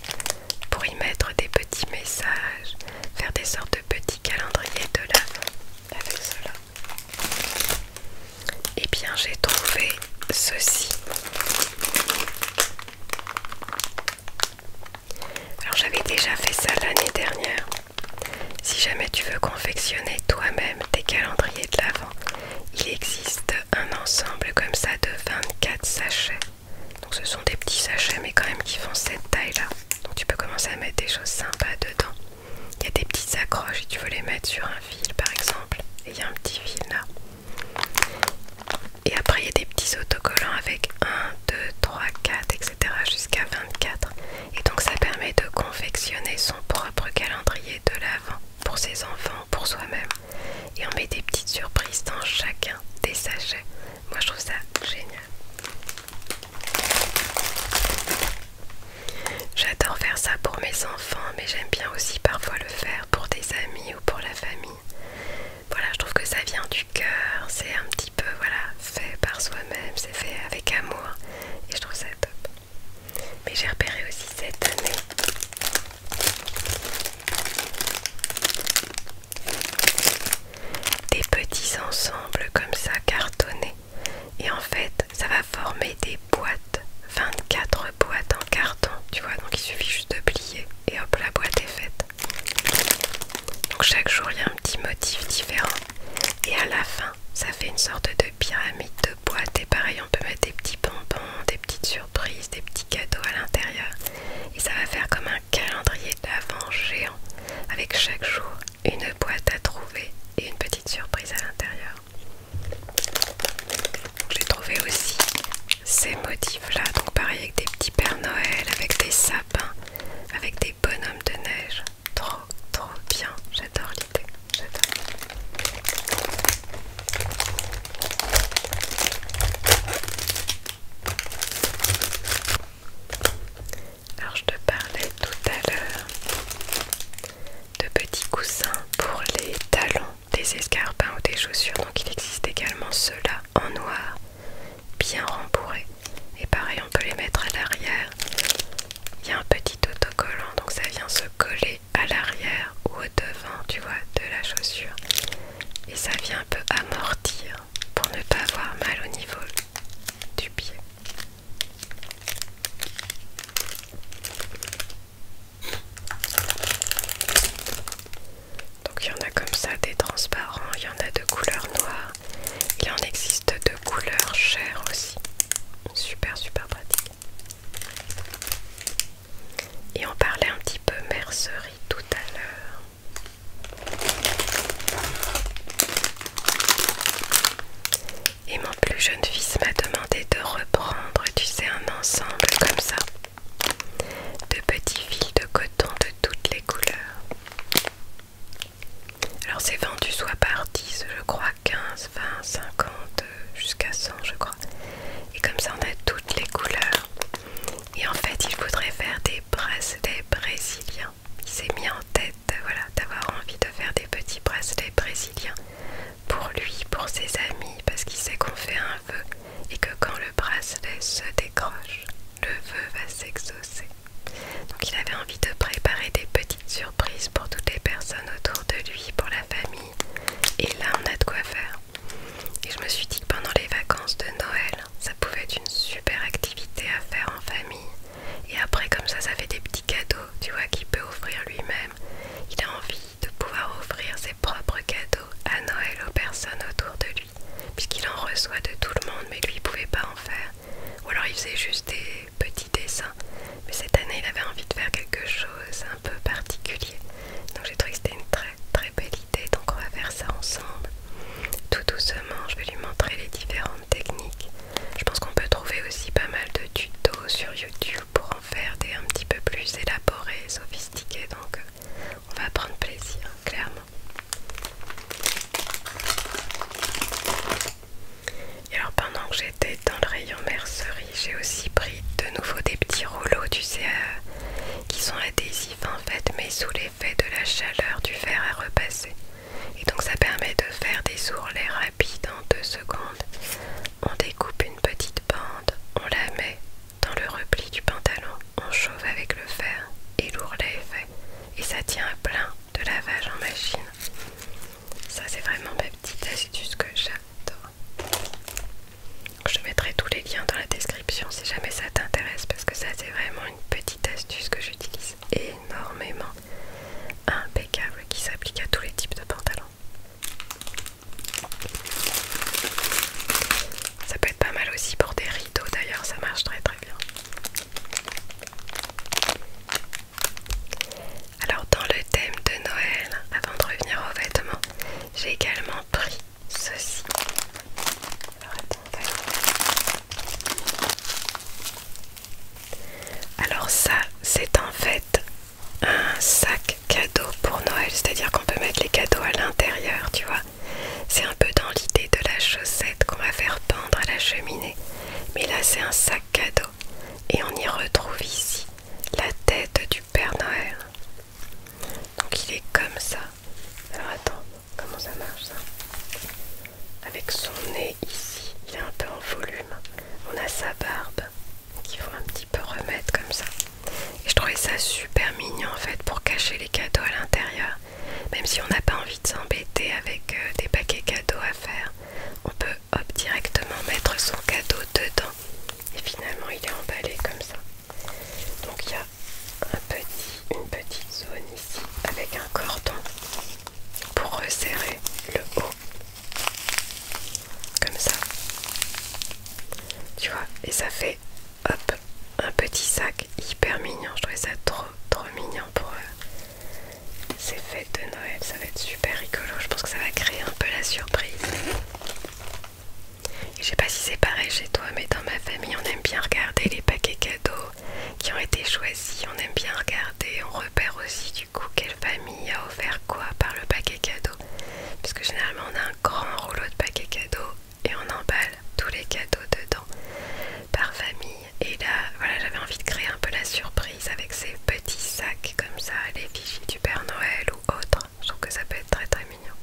pour y mettre des petits messages faire des sortes de petits calendriers de l'avant avec cela et eh bien j'ai trouvé ceci alors j'avais déjà fait ça l'année dernière. Si jamais tu veux confectionner toi-même tes calendriers de l'avant, il existe un ensemble comme ça de 24 sachets. Donc ce sont des petits sachets mais quand même qui font cette taille-là. Donc tu peux commencer à mettre des choses sympas dedans. Il y a des petits accroches et tu veux les mettre sur un fil par exemple. Et il y a un petit fil là. Et après il y a des petits autocollants avec 1, 2, 3, 4, etc. jusqu'à 24. Et donc ça permet de confectionner son propre calendrier de l'avant pour ses enfants, pour soi-même. Et on met des petites surprises dans chacun des sachets. Moi je trouve ça génial. J'adore faire ça pour mes enfants, mais j'aime bien aussi parfois le faire pour des amis pour la famille. Voilà, je trouve que ça vient du cœur, c'est un petit peu voilà, fait par soi-même, c'est fait avec amour et je trouve ça top. Mais j'ai repéré aussi cette année des petits ensembles comme ça cartonnés et en fait ça va former des boîtes 24 boîtes en carton, tu vois, donc il suffit juste de plier et hop, la boîte est faite. Donc chaque jour, il y a un petit motif différent et à la fin, ça fait une sorte de pyramide de boîtes et pareil, on peut mettre des petits bonbons, des petites surprises, des petits cadeaux à l'intérieur et ça va faire comme un calendrier d'avant géant avec chaque jour une boîte à trouver et une petite surprise à l'intérieur. J'ai trouvé aussi ces motifs là, donc pareil avec des petits Pères Noël, avec des sapins, avec des bonhommes de neige. Trop, trop bien. J'adore l'idée. J'adore. Alors je te parlais tout à l'heure de petits coussins pour les talons des escarpins ou des chaussures. Donc il existe également ceux-là en noir, bien rembourrés. Et pareil, on peut les mettre à l'arrière. Il y a un petit autocollant, donc ça vient se coller à l'arrière ou au devant, tu vois, de la chaussure. Et ça vient un peu amortir pour ne pas avoir mal au niveau du pied. Donc il y en a comme ça des transparents, il y en a de couleur noire. Il en existe de couleur chair aussi. Super super pratique. Et on parlait un petit peu mercerie tout à l'heure. Et mon plus jeune fils m'a demandé de reprendre, tu sais, un ensemble comme ça de petits fils de coton de toutes les couleurs. Alors c'est vendu soit par 10, je crois 15, 20, 50, jusqu'à 100 je crois. Et comme ça on a toutes les couleurs. Et en fait il voudrait faire des bracelets brésiliens. Il s'est mis en tête d'avoir envie de faire des petits bracelets brésiliens pour lui, pour ses amis, parce qu'il sait qu'on fait un vœu et que quand le bracelet se décroche, le vœu va s'exaucer. Donc il avait envie de préparer des petites surprises pour toutes les personnes autour de lui, pour la famille. Et là, on a de quoi faire. Et je me suis dit que pendant les vacances de Noël, ça pouvait être une super activité à faire en famille. Et après, comme ça, ça fait des petits cadeaux, tu vois, qu'il peut offrir lui-même. Il a envie de pouvoir offrir ses propres cadeaux à Noël aux personnes autour de lui, puisqu'il en reçoit de tout le monde, mais lui il pouvait pas en faire. Ou alors il faisait juste des petits dessins. Mais cette année il avait envie de faire quelque chose un peu particulier. Donc j'ai trouvé que c'était une très très belle idée. Donc on va faire ça ensemble. Tout doucement, je vais lui montrer les différentes techniques. Je pense qu'on peut trouver aussi pas mal de tutos sur YouTube pour faire des un petit peu plus élaborés, sophistiqués, donc euh, on va prendre plaisir, clairement. Et alors pendant que j'étais dans le rayon mercerie, j'ai aussi pris de nouveau des petits rouleaux, du sais, euh, qui sont adhésifs en fait, mais sous l'effet de la chaleur du fer à repasser. Et donc ça permet de faire des ourlets rapides en deux secondes on découpe une petite bande, on la met dans le repli du pantalon, on chauffe avec le fer et l'ourlet est fait. Et ça tient à plein de lavage en machine. Ça c'est vraiment ma petite astuce que j'adore. Je mettrai tous les liens dans la description si jamais ça t'intéresse parce que ça c'est vraiment une petite astuce que j'utilise énormément. Impeccable qui s'applique à tous les types de pantalons. Ça peut être pas mal aussi pour des rideaux d'ailleurs, ça marche très très bien. Alors dans le thème de Noël, avant de revenir aux vêtements, j'ai également pris ceci. Alors, ça, c'est en fait un sac cadeau pour Noël, c'est-à-dire qu'on peut mettre les cadeaux à l'intérieur, tu vois. C'est un peu dans l'idée de la chaussette qu'on va faire pendre à la cheminée. Mais là, c'est un sac cadeau. Et on y retrouve ici la tête du Père Noël. Donc il est comme ça. Alors attends, comment ça marche ça Avec son nez ici, il est un peu en volume. On a sa barbe qu'il faut un petit peu remettre comme ça. Et je trouvais ça super mignon en fait pour cacher les cadeaux à l'intérieur. Même si on n'a pas envie de s'embêter avec euh, des paquets cadeaux à faire, on peut hop directement mettre son cadeau dedans. Et finalement il est emballé comme ça. Donc il y a une petite zone ici avec un cordon pour resserrer le haut comme ça tu vois et ça fait un petit sac hyper mignon je trouvais ça trop trop mignon pour euh, ces fêtes de Noël ça va être super rigolo je pense que ça va créer un peu la surprise je sais pas si c'est pareil chez toi mais dans ma famille on aime bien regarder les paquets cadeaux qui ont été choisis on aime bien regarder on repère aussi du coup quelle famille a offert quoi par le paquet cadeau parce que généralement on a un grand rouleau de paquets cadeaux et on emballe tous les cadeaux dedans par famille. Et là, voilà, j'avais envie de créer un peu la surprise avec ces petits sacs comme ça, les fichiers du Père Noël ou autre. Je trouve que ça peut être très très mignon.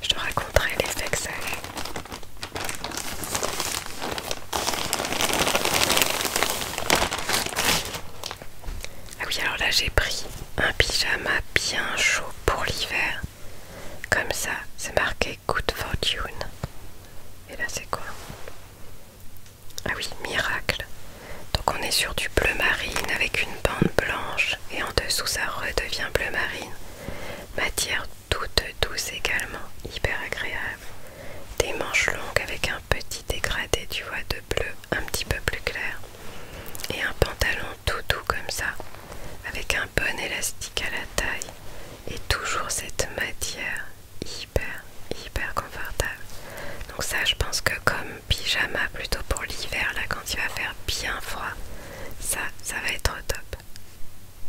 Je te raconterai les que ah oui, alors là j'ai pris un pyjama bien chaud pour l'hiver. Comme ça, c'est marqué Good Fortune. Et là c'est quoi Ah oui, miracle. Donc on est sur du bleu marine avec une bande blanche et en dessous ça redevient bleu marine. Matière toutes douces également, hyper agréable. Des manches longues avec un petit dégradé, tu vois, de bleu un petit peu plus clair. Et un pantalon tout doux comme ça, avec un bon élastique à la taille. Et toujours cette matière hyper, hyper confortable. Donc ça, je pense que comme pyjama plutôt pour l'hiver, là, quand il va faire bien froid, ça, ça va être top.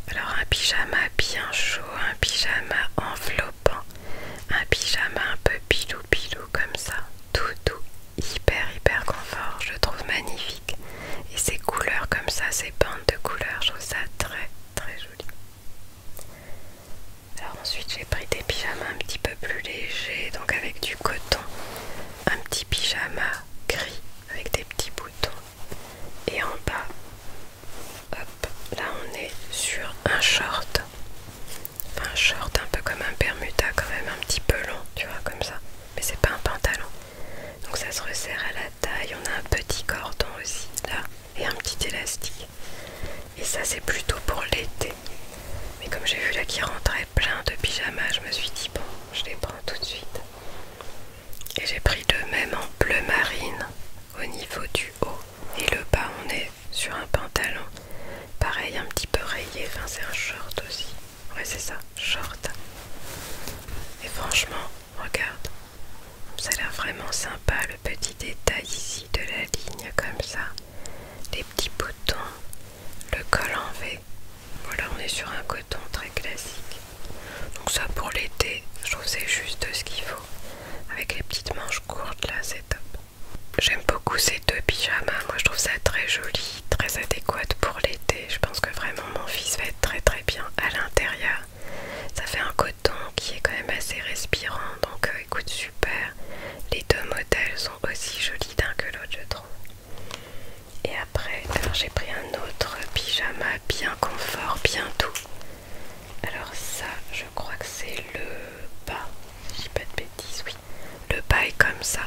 Alors un pyjama bien chaud, un pyjama enveloppant, un pyjama un peu pilou pilou comme ça, tout doux, hyper hyper confort, je trouve magnifique. Et ces couleurs comme ça, ces bandes de couleurs, je trouve ça très très joli. Alors ensuite j'ai pris des pyjamas un petit peu plus légers, donc avec du coton, un petit pyjama gris avec des petits boutons et en bas Hop, là on est sur un short. un short un peu comme un permuta quand même, un petit peu long, tu vois, comme ça. Mais c'est pas un pantalon. Donc ça se resserre à la taille. On a un petit cordon aussi là et un petit élastique. Et ça c'est plutôt pour l'été. Mais comme j'ai vu là qu'il rentrait plein de pyjamas, je me suis dit bon, je les prends tout de suite. Et j'ai pris de même en bleu marine au niveau du haut. Et le bas, on est sur un pantalon. Pareil, un petit peu rayé. Enfin, c'est un short aussi. Ouais, c'est ça, short. Et franchement, regarde. Ça a l'air vraiment sympa le petit détail ici de la ligne comme ça. Les petits boutons, le col en V. Voilà, on est sur un coton très classique. Donc ça pour l'été, je trouve c'est juste ce qu'il faut. Avec les petites manches courtes là, c'est top. J'aime beaucoup ces deux pyjamas, moi je trouve ça très joli, très adéquat pour l'été. Je pense que vraiment mon fils va être très très bien à l'intérieur. Ça fait un coton qui est quand même assez respirant, donc euh, écoute super. Les deux modèles sont aussi jolis d'un que l'autre je trouve. Et après, j'ai pris un autre pyjama bien confort, bien doux. Alors ça, je crois que c'est le bas. Je pas de bêtises, oui. Le bas est comme ça.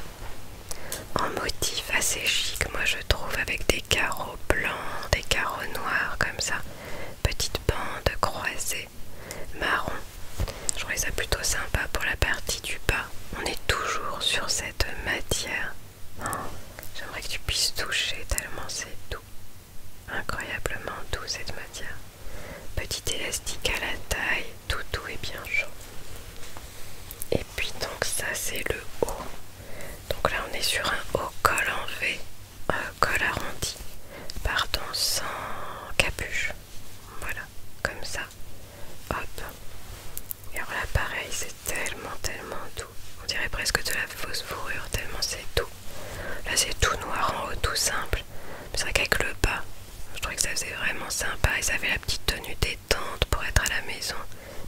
En motif assez chic, moi je trouve, avec des carreaux blancs, des carreaux noirs comme ça. petites bandes croisées, marron. Je trouve ça plutôt sympa pour la partie du bas. On est toujours sur cette matière J'aimerais que tu puisses toucher tellement c'est doux. Incroyablement doux cette matière. Petit élastique à la taille, tout doux et bien chaud. Et puis donc ça c'est le haut. Donc là on est sur un haut col en V, un euh, col arrondi, pardon, sans capuche. Voilà, comme ça. Hop. Et alors là pareil, c'est tellement tellement doux. On dirait presque de la fausse fourrure, tellement c'est doux. Là c'est tout noir en haut, tout simple. C'est vrai qu'avec le bas, je trouvais que ça faisait vraiment sympa et ça avait la petite tenue détente pour être à la maison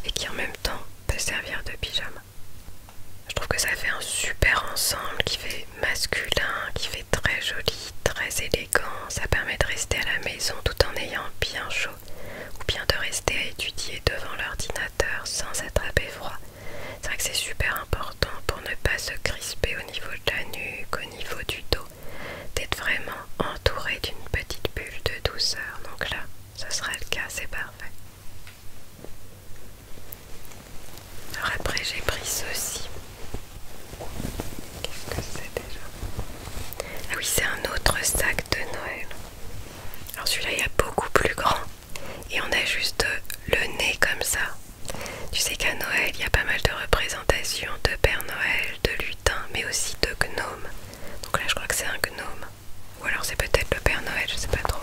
et qui en même temps peut servir de pyjama. Je trouve que ça fait un super ensemble qui fait masculin, qui fait très joli, très élégant. Ça permet de rester à la maison tout en ayant bien chaud ou bien de rester à étudier devant l'ordinateur sans attraper froid. C'est vrai que c'est super important pour ne pas se crisper au niveau de la nuque, au niveau du dos, d'être vraiment entouré d'une petite bulle de douceur. Donc là, ce sera le cas, c'est parfait. Alors après j'ai pris ceci. Qu'est-ce que c'est déjà Ah oui, c'est un autre sac de Noël. Alors celui-là il y a beaucoup plus grand et on a juste le nez comme ça. Tu sais qu'à Noël il y a pas mal de représentations de Père Noël, de lutin, mais aussi de gnome. Donc là je crois que c'est un gnome. Ou alors c'est peut-être le Père Noël, je sais pas trop.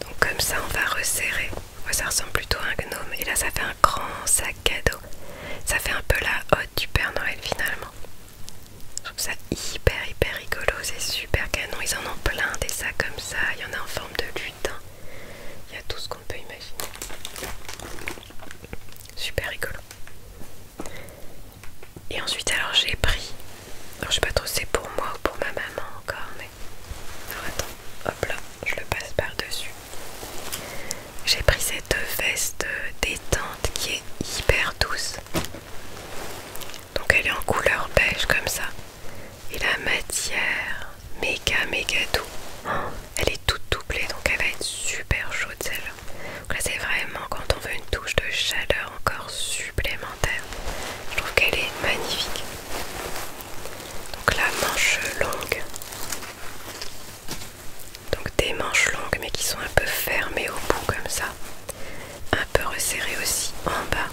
Donc comme ça on va resserrer. ça ressemble plutôt à un gnome. Et là ça fait un grand sac à dos Ça fait un peu la hotte du Père Noël finalement. Je trouve ça hyper hyper rigolo, c'est super canon. Ils en ont plein des sacs comme ça. Il y en a en forme de lutin. Il y a tout ce qu'on peut imaginer. Super rigolo. Et ensuite alors j'ai pris. Alors je sais pas trop si c'est pour moi ou pour ma maman encore, mais. attends, hop là, je le passe par-dessus. J'ai pris cette veste détente qui est hyper douce. Donc elle est en couleur beige comme ça. Et la matière, méga méga doux. Elle est toute doublée donc elle va être super chaude celle-là. Donc là c'est vraiment quand on veut une touche de chaleur encore supplémentaire. Je trouve qu'elle est magnifique. Donc la manche longue. Donc des manches longues mais qui sont un peu fermées au bout comme ça un peu resserré aussi en bas.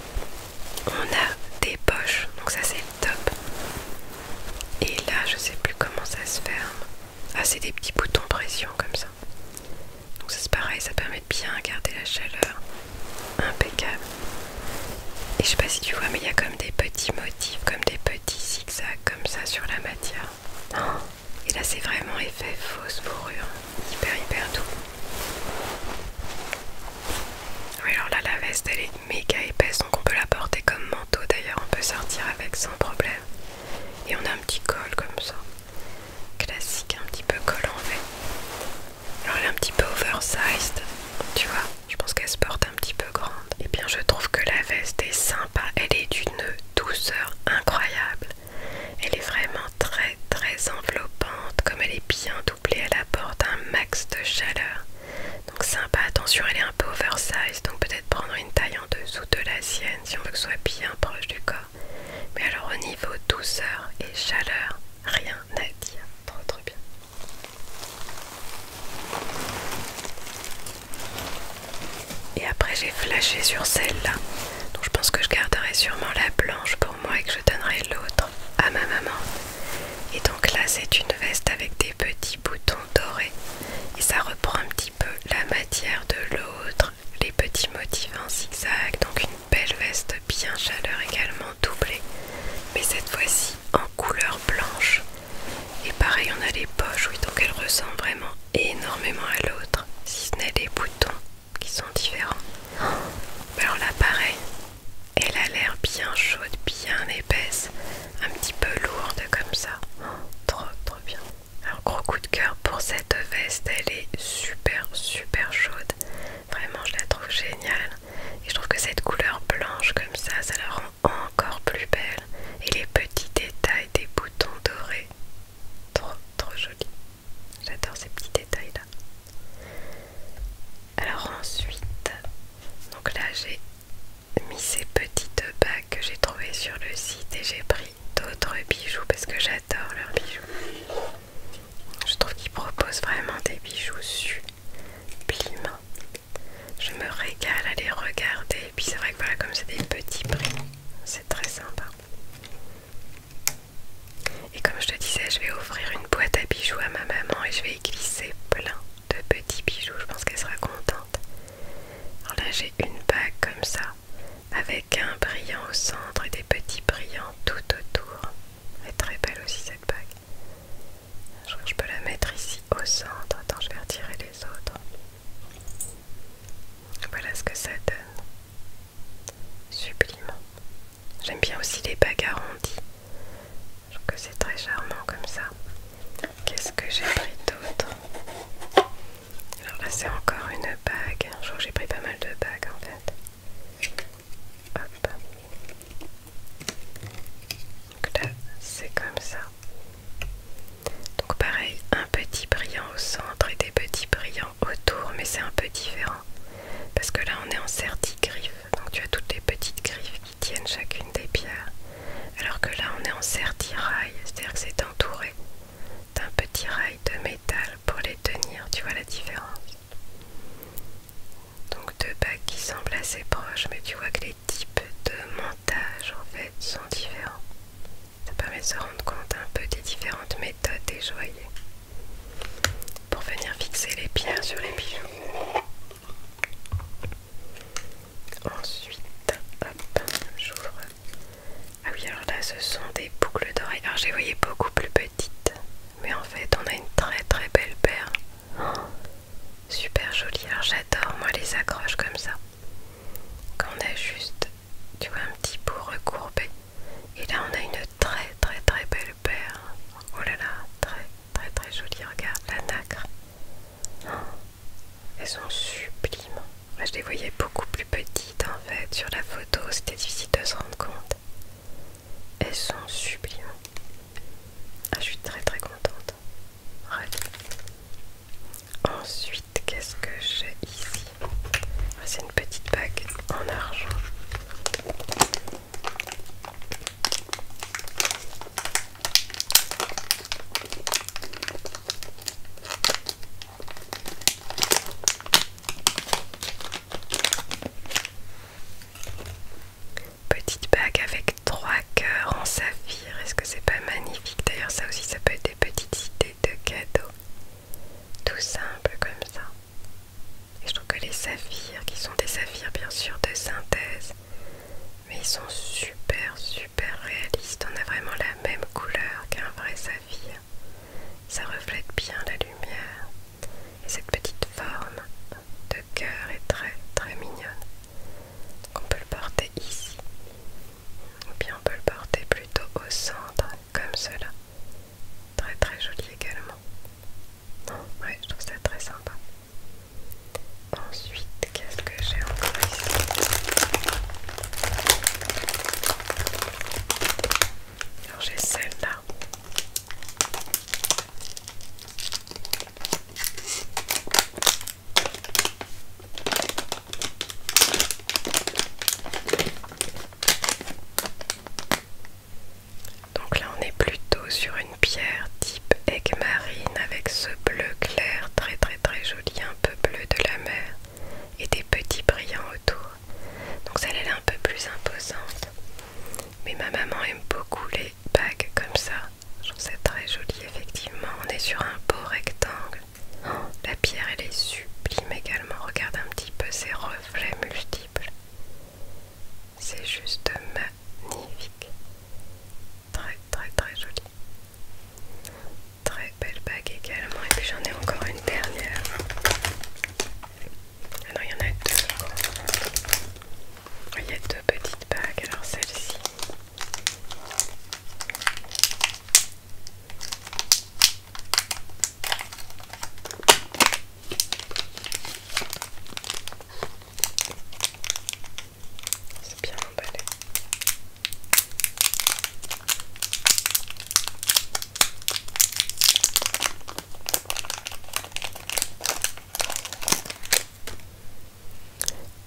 On a des poches, donc ça c'est le top. Et là, je sais plus comment ça se ferme. Ah, c'est des petits boutons pression comme ça. Donc ça c'est pareil, ça permet de bien garder la chaleur. Impeccable. Et je sais pas si tu vois, mais il y a comme des petits motifs, comme des petits zigzags comme ça sur la matière. Oh et là c'est vraiment effet fausse fourrure, hyper hyper doux. Oui alors là la veste elle est méga épaisse donc on peut la porter comme manteau d'ailleurs, on peut sortir avec sans problème. Et on a un petit col comme ça, classique, un petit peu col en V. Alors elle est un petit peu oversized, tu vois, je pense qu'elle se porte un petit peu grande. Et bien je trouve que la veste est sympa, elle est d'une douceur incroyable. Elle est vraiment très très enveloppante comme elle est bien doublée, elle apporte un max de chaleur. Donc sympa, attention elle est un peu oversize, donc peut-être prendre une taille en dessous de la sienne si on veut que ce soit bien proche du corps. Mais alors au niveau douceur et chaleur, rien à dire, trop trop bien. Et après j'ai flashé sur celle-là. Donc je pense que je garderai sûrement la blanche pour moi et que je donnerai l'autre à ma maman. Et donc là c'est une veste avec des petits boutons dorés et ça reprend un petit peu la matière de l'autre, les petits motifs en zigzag, donc une belle veste bien chaleur également doublée, mais cette fois-ci en couleur blanche. Et pareil on a les poches, oui donc elle ressemble vraiment énormément à l'autre, si ce n'est les boutons qui sont différents. Alors là pareil, elle a l'air bien chaude, bien épaisse, un petit peu lourde comme ça. Trop trop bien. Alors gros coup de cœur pour cette veste, elle est super super chaude. Vraiment je la trouve géniale. Et je trouve que cette couleur blanche comme ça, ça la rend encore plus belle. Et les petits détails des boutons dorés. Trop trop joli. J'adore ces petits détails là. Alors ensuite, donc là j'ai mis ces petites bagues que j'ai trouvées sur le site et j'ai pris d'autres bijoux parce que j'adore leurs bijoux. Je trouve qu'ils proposent vraiment des bijoux sublimes. Je me régale à les regarder et puis c'est vrai que voilà comme c'est des petits prix, c'est très sympa. Et comme je te disais, je vais offrir une boîte à bijoux à ma maman et je vais y glisser plein de petits bijoux. Je pense qu'elle sera contente. Alors là, j'ai une bague comme ça, avec un brillant au centre et des petits brillants tout autour. Elle est très belle aussi cette bague. Je crois je peux la mettre ici au centre. Attends, je vais retirer les autres. Voilà ce que ça donne. Sublime. J'aime bien aussi les bagues arrondies. Je trouve que c'est très charmant comme ça. Qu'est-ce que j'ai pris d'autre Alors là, c'est encore une bague. Je crois que j'ai pris pas mal de bagues en fait. Hop. Donc là, c'est comme ça. Donc pareil, un petit brillant au centre et des petits brillants autour, mais c'est un peu différent. Parce que là, on est en griffes donc tu as toutes les petites griffes qui tiennent chacune des pierres. Alors que là, on est en rail, c'est-à-dire que c'est entouré d'un petit rail de métal pour les tenir. Tu vois la différence Donc deux bacs qui semblent assez proches, mais tu vois que les types de montage en fait sont différents. Ça permet de se rendre compte un peu des différentes méthodes des joyeux pour venir fixer les pierres sur les bijoux. Ensuite, hop, j'ouvre. Ah oui, alors là, ce sont des boucles d'oreilles. Alors, j'ai voyé beaucoup plus petites, mais en fait, on a une très très belle paire. Oh, super jolie. Alors, j'adore, moi, les accroches comme ça. Quand on a juste, tu vois, un petit bout recourbé et là on a une très très très belle paire. Oh là là, très très très jolie. Regarde la nacre. Oh, elles sont sublimes. je les voyais beaucoup plus petites en fait sur la photo. C'était difficile de se rendre compte. Elles sont sublimes. Ah, je suis très très contente. Ensuite, qu'est-ce que j'ai ici c'est une petite bague en argent. Petite bague avec trois cœurs en saphir. Est-ce que c'est pas magnifique D'ailleurs, ça aussi, ça peut être des petites idées de cadeaux. Tout simple comme ça. Et je trouve que les saphirs, qui sont des saphirs bien sûr de synthèse, mais ils sont super super réalistes. On a vraiment la même couleur qu'un vrai saphir. Ça reflète bien la lumière. Et cette petite forme de cœur est très très mignonne. on peut le porter ici ou bien on peut le porter plutôt au centre, comme cela. Très très joli également. Non, ouais, je trouve ça très sympa. Ensuite, qu'est-ce que j'ai encore ici Alors j'ai celle-là. Donc là on est plutôt sur une pierre type aigle marine avec ce bleu clair très très très joli, un peu bleu de la mer et des petits brillants autour. Donc celle elle est un peu plus imposante. Mais ma maman aime beaucoup les bagues comme ça. Je trouve ça très joli effectivement. On est sur un beau rectangle la pierre, elle est sublime également. Regarde un petit peu ses reflets multiples. C'est juste magnifique. Très, très, très joli. Très belle bague également. Et puis j'en ai encore une dernière. Ah non, il y en a deux. Il y a deux petites bagues. Alors celle-ci. C'est bien emballé.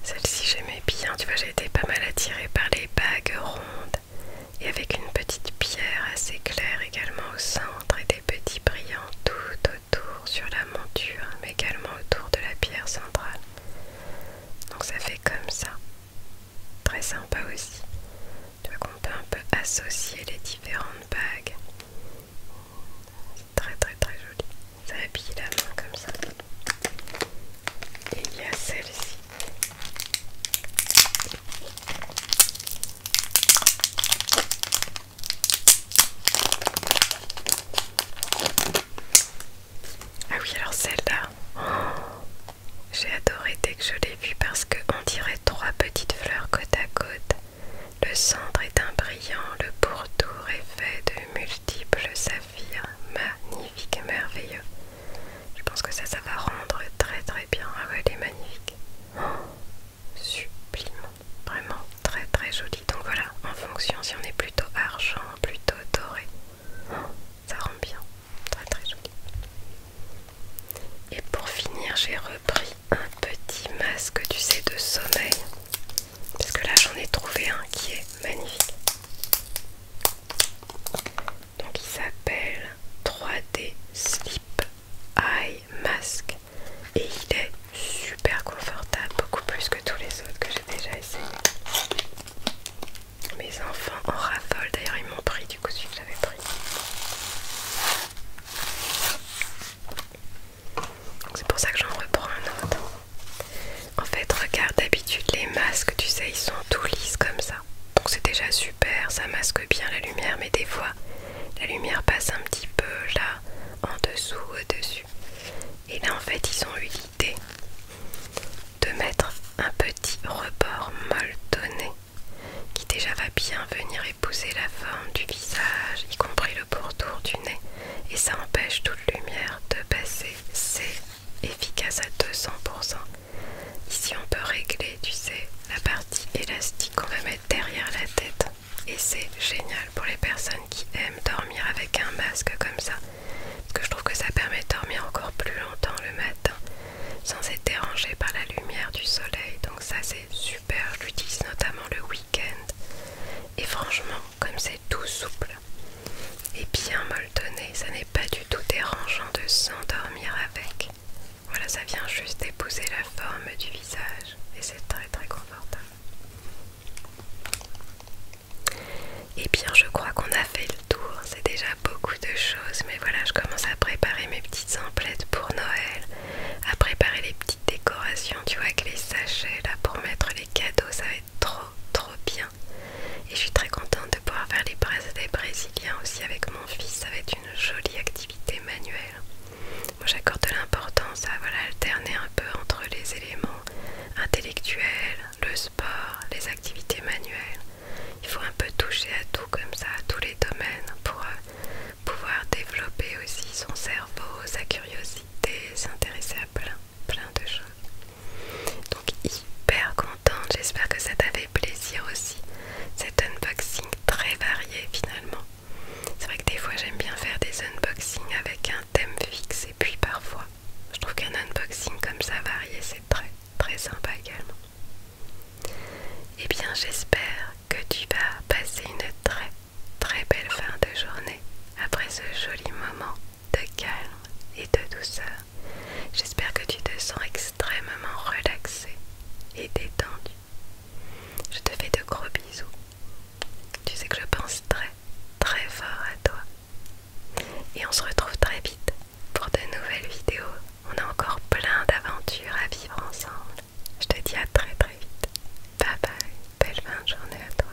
Celle-ci j'aimais bien, tu vois j'ai été pas mal attirée par les bagues rondes et avec une petite pierre assez claire également au centre et des petits brillants tout autour sur la monture, mais également autour de la pierre centrale. Donc ça fait comme ça. Très sympa aussi. Tu vois qu'on peut un peu associer les différentes bagues. C'est très très très joli. Ça habille la main comme ça. Et il y a celle-ci. Ah oui, alors celle-là, j'ai adoré dès que je l'ai vue parce qu'on dirait trois petites fleurs côte à côte. Le centre est un brillant, le pourtour est fait de multiples saphirs, magnifiques et merveilleux. Je pense que ça, ça va rendre très très bien. Ah ouais, elle est magnifique. Oh, sublime. Vraiment très très jolie. Donc voilà, en fonction si on est plutôt argent, plutôt doré. Oh, ça rend bien. Très très joli. Et pour finir, j'ai repris un petit masque, tu sais, de sommeil. Parce que là, j'en ai trouvé un qui est magnifique donc il s'appelle 3D Sleep Eye Mask et il est super confortable, beaucoup plus que tous les autres que j'ai déjà essayé. Mes enfants en raffolent, d'ailleurs ils m'ont pris du coup celui que j'avais pris. C'est pour ça que j'en reprends un autre. En fait, regarde d'habitude les masques, tu sais, ils sont tout lisses comme ça. Donc c'est déjà super, ça masque bien la lumière, mais des fois la lumière passe un petit peu là, en dessous, au-dessus. Et là en fait ils ont eu l'idée de mettre un petit rebord molletonné qui déjà va bien venir épouser la forme du visage, y compris le pourtour du nez. Et ça empêche toute lumière de passer. C'est efficace à 200%. Ici on peut régler, tu sais, la partie élastique qu'on va mettre derrière la tête. Et c'est génial pour les personnes qui aiment dormir avec un masque comme ça. Parce que je trouve que ça permet de dormir encore plus longtemps le matin sans être dérangé par la lumière du soleil. Donc ça c'est super, je l'utilise notamment le week-end. Et franchement, comme c'est tout souple et bien molletonné, ça n'est pas du tout dérangeant de s'endormir avec. Voilà, ça vient juste épouser la forme du visage et c'est très très confortable. Et eh bien, je crois qu'on a fait le tour. C'est déjà beaucoup de choses, mais voilà, je commence à préparer mes petites emplettes pour Noël, à préparer les petites décorations, tu vois, avec les sachets là pour mettre les cadeaux. Ça va être trop trop bien. Et je suis très contente de pouvoir faire les bracelets brésiliens aussi avec mon fils. Ça va être une jolie activité manuelle. Moi j'accorde de l'importance à voilà, alterner un peu entre les éléments intellectuels, le sport, les activités manuelles. Il faut un peu toucher à tout comme ça, à tous les domaines pour euh, pouvoir développer aussi son cerveau, sa curiosité, s'intéresser à plein, plein de choses hyper contente, j'espère que ça t'a fait plaisir aussi cet unboxing très varié finalement. C'est vrai que des fois j'aime bien faire des unboxings avec un thème fixe et puis parfois je trouve qu'un unboxing comme ça varié c'est très très sympa également. Et eh bien j'espère que tu vas passer une très très belle fin de journée après ce joli moment de calme et de douceur. J'espère que tu te sens extrêmement relaxé et détendu. Je te fais de gros bisous. Tu sais que je pense très très fort à toi. Et on se retrouve très vite pour de nouvelles vidéos. On a encore plein d'aventures à vivre ensemble. Je te dis à très très vite. Bye bye. Belle fin de journée à toi.